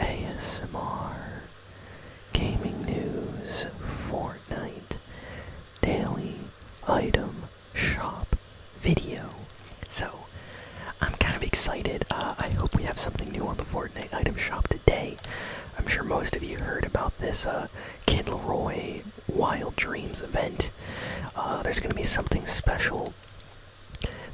ASMR, gaming news, Fortnite, daily item shop video. So I'm kind of excited. Uh, I hope we have something new on the Fortnite item shop today. I'm sure most of you heard about this uh, Kid Wild Dreams event. Uh, there's going to be something special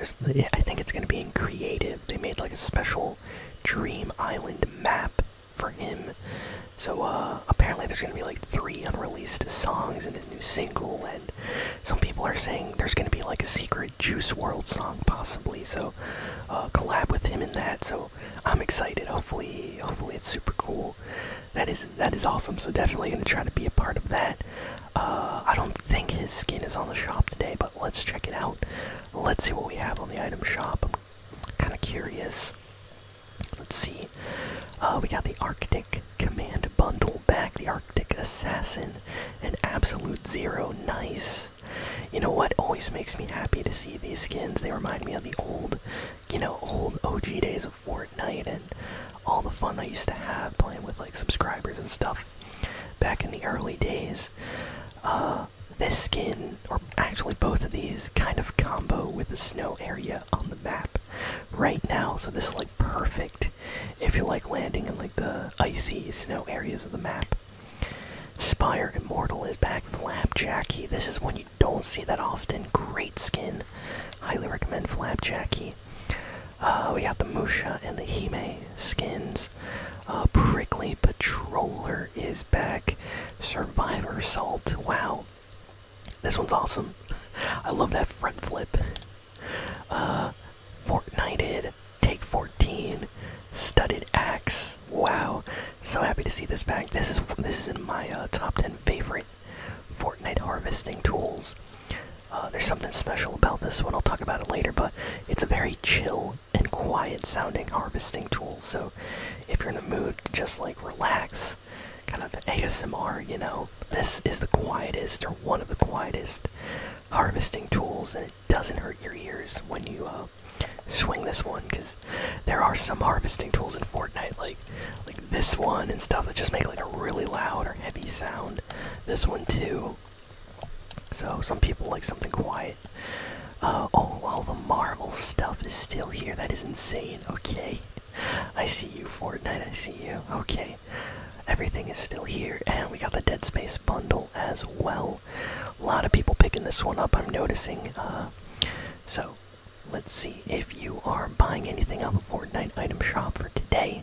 I think it's going to be in creative. They made like a special Dream Island map for him. So uh, apparently there's going to be like three unreleased songs in his new single, and some people are saying there's going to be like a secret Juice World song possibly. So uh, collab with him in that. So I'm excited. Hopefully, hopefully it's super cool. That is that is awesome. So definitely going to try to be a part of that. Uh, I don't think his skin is on the shop today, but let's check it out. Let's see what we have on the item shop. I'm kind of curious. Let's see. Uh, we got the Arctic Command Bundle back, the Arctic Assassin, and Absolute Zero. Nice. You know what? Always makes me happy to see these skins. They remind me of the old, you know, old OG days of Fortnite and all the fun I used to have playing with like subscribers and stuff back in the early days. Uh, this skin, or actually both of these, kind of combo with the snow area on the map right now. So this is like perfect if you like landing in like the icy snow areas of the map. Spire Immortal is back. Flapjacky. This is one you don't see that often. Great skin. Highly recommend Flapjacky. Uh, we got the Musha and the Hime skins. Uh, Prickly Patroller is back. Survivor Salt. Wow. This one's awesome. I love that front flip. Uh, Fortnited. Take 14. Studded Axe. Wow. So happy to see this back. This is this is in my uh, top 10 favorite Fortnite harvesting tools. Uh, there's something special about this one. I'll talk about it later, but it's a very chill and quiet sounding harvesting tool. So if you're in the mood to just like relax, kind of ASMR, you know, this is the quietest or one of the quietest harvesting tools, and it doesn't hurt your ears when you uh, swing this one because there are some harvesting tools in Fortnite like like this one and stuff that just make like a really loud or heavy sound. This one too. So some people like something quiet. Uh, oh, all the Marvel stuff is still here. That is insane. Okay, I see you, Fortnite. I see you. Okay, everything is still here, and we got the Dead Space bundle as well. A lot of people picking this one up. I'm noticing. Uh, so let's see if you are buying anything on the Fortnite item shop for today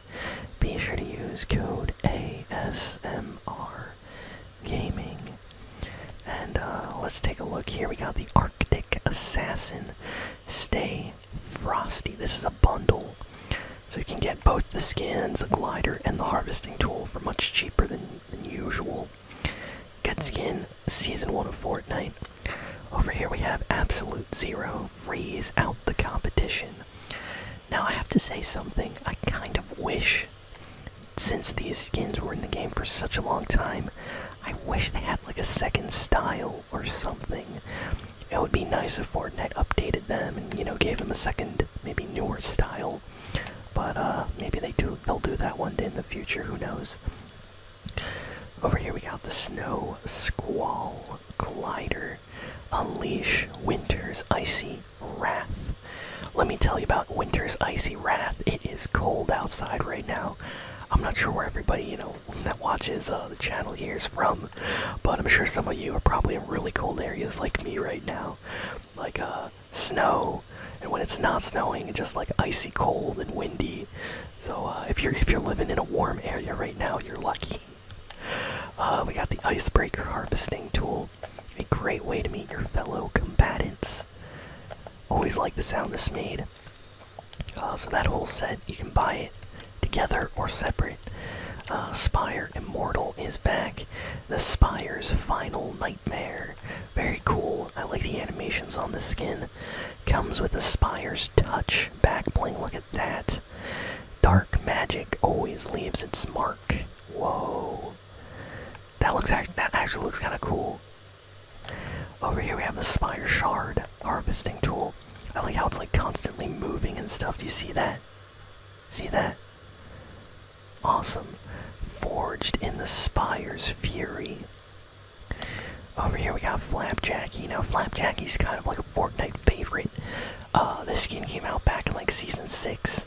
be sure to use code ASMR Gaming. And uh, let's take a look here. We got the Arctic Assassin Stay Frosty. This is a bundle. So you can get both the skins, the glider, and the harvesting tool for much cheaper than, than usual. Good skin, season one of Fortnite. Over here we have Absolute Zero, freeze out the competition. Now I have to say something. I kind of wish, since these skins were in the game for such a long time, I wish they had like a second style or something. It would be nice if Fortnite updated them and you know gave them a second, maybe newer style. But uh, maybe they do. They'll do that one day in the future. Who knows? Over here we got the Snow Squall Glider. Unleash winter's icy wrath. Let me tell you about winter's icy wrath. It is cold outside right now. I'm not sure where everybody, you know, that watches uh, the channel here is from, but I'm sure some of you are probably in really cold areas like me right now, like uh, snow, and when it's not snowing, it's just like icy cold and windy. So uh, if you're if you're living in a warm area right now, you're lucky. Uh, we got the icebreaker harvesting tool, a great way to meet your fellow combatants. Always like the sound this made. Uh, so that whole set, you can buy it together or separate. Uh, Spire Immortal is back. The Spire's Final Nightmare. Very cool. I like the animations on the skin. Comes with the Spire's Touch back bling. Look at that. Dark magic always leaves its mark. Whoa. That looks that actually looks kinda cool. Over here we have the spire shard harvesting tool. I like how it's like constantly moving and stuff. Do you see that? See that? Awesome. Forged in the spire's fury. Over here we got Flapjacky. Now Flapjacky's kind of like Fortnite favorite. Uh, this skin came out back in like season six,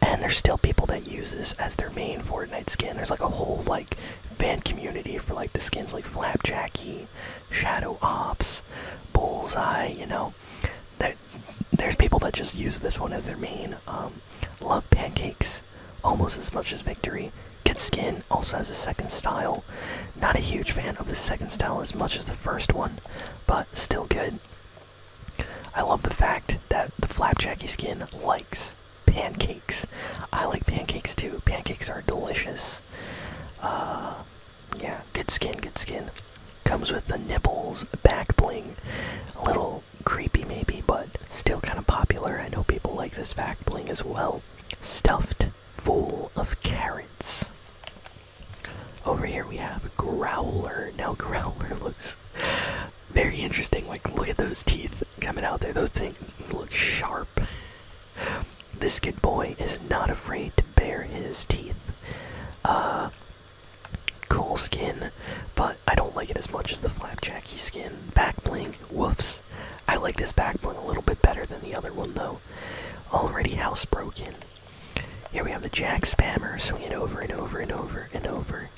and there's still people that use this as their main Fortnite skin. There's like a whole like fan community for like the skins like Flapjacky, Shadow Ops, Bullseye. You know, there's people that just use this one as their main. Um, love pancakes almost as much as victory. Good skin also has a second style. Not a huge fan of the second style as much as the first one, but still good. I love the fact that the flapjacky skin likes pancakes. I like pancakes too. Pancakes are delicious. Uh, yeah, good skin, good skin. Comes with the nipples, back bling. A little creepy maybe, but still kind of popular. I know people like this back bling as well. Stuffed full of carrots. Over here we have Growler. Now Growler looks very interesting. Like look at those teeth coming out there. Those things look sharp. This good boy is not afraid to bare his teeth. Uh, cool skin, but I don't like it as much as the flapjacky skin. Back bling, woofs. I like this back bling a little bit better than the other one though. Already housebroken. Here we have the jack spammer swinging over and over and over and over.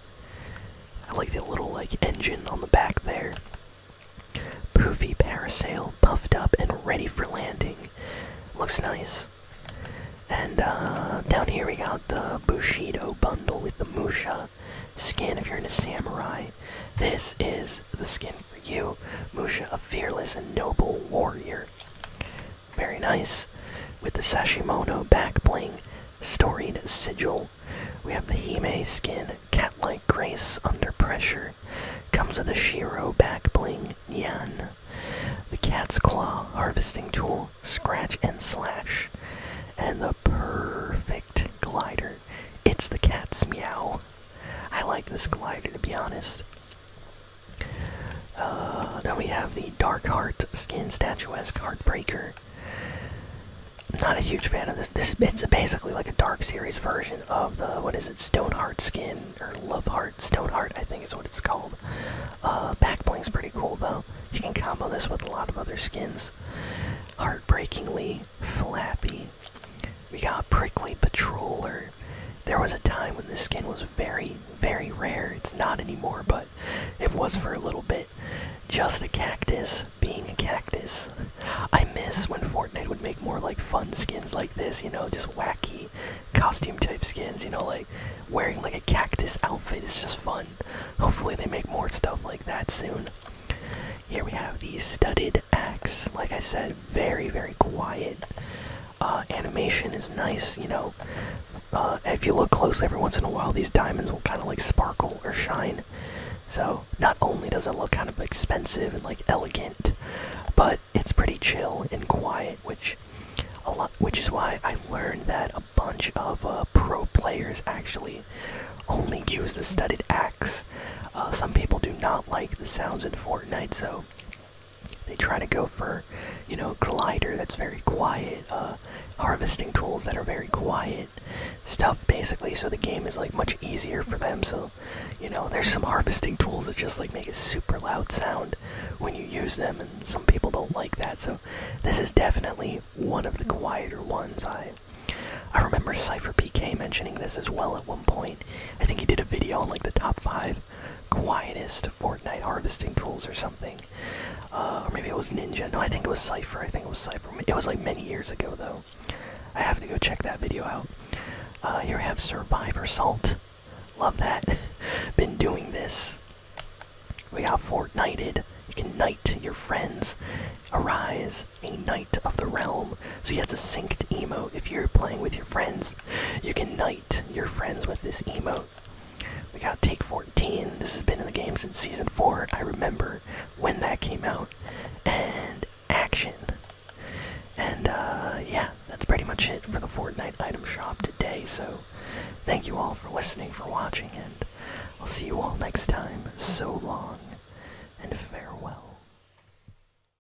I like the little like engine on the back there. Poofy parasail, puffed up and ready for landing. Looks nice. And uh, down here we got the Bushido bundle with the Musha skin if you're in a samurai. This is the skin for you. Musha, a fearless and noble warrior. Very nice. With the Sashimono back bling, storied sigil. We have the Hime skin, cat-like grace under pressure. Comes with a Shiro back bling, Yen, The cat's claw harvesting tool, scratch and slash. And the perfect glider. It's the cat's meow. I like this glider to be honest. Uh, then we have the Dark Heart skin statuesque Heartbreaker. I'm not a huge fan of this. This is basically like a Dark Series version of the what is it, Stone Heart skin or Love Heart Stone Heart? I think is what it's called. Uh, Backbling's pretty cool though. You can combo this with a lot of other skins. Heartbreakingly, Flappy, we got Prickly Patroller. There was a time when this skin was very, very rare. It's not anymore, but it was for a little bit. Just a cactus being a cactus. I miss when Fortnite would make more like fun skins like this, you know, just wacky costume type skins, you know, like wearing like a cactus outfit is just fun. Hopefully they make more stuff like that soon. Here we have these studded axe. Like I said, very, very quiet. Uh, animation is nice, you know. Uh, if you look closely, every once in a while, these diamonds will kind of like sparkle or shine. So not only does it look kind of expensive and like elegant, but it's pretty chill and quiet, which a lot, which is why I learned that a bunch of uh, pro players actually only use the studded axe. some people do not like the sounds in Fortnite, so they try to go for, you know, a glider that's very quiet, uh, harvesting tools that are very quiet, stuff basically. So the game is like much easier for them. So, you know, there's some harvesting tools that just like make a super loud sound when you use them, and some people don't like that. So, this is definitely one of the quieter ones. I I remember Cipher PK mentioning this as well at one point. I think he did a video on like the top five quietest Fortnite harvesting tools or something. Uh, or maybe it was Ninja. No, I think it was Cypher. I think it was Cypher. It was like many years ago though. I have to go check that video out. Uh, here we have Survivor Salt. Love that. Been doing this. We got Fortnited. You can knight your friends. Arise, a knight of the realm. So you have to sync to emote if you're playing with your friends. You can knight your friends with this emote. We got Take 14. This has been in the game since Season 4. I remember when that came out. And action. And uh, yeah, that's pretty much it for the Fortnite item shop today. So thank you all for listening, for watching, and I'll see you all next time. So long and farewell.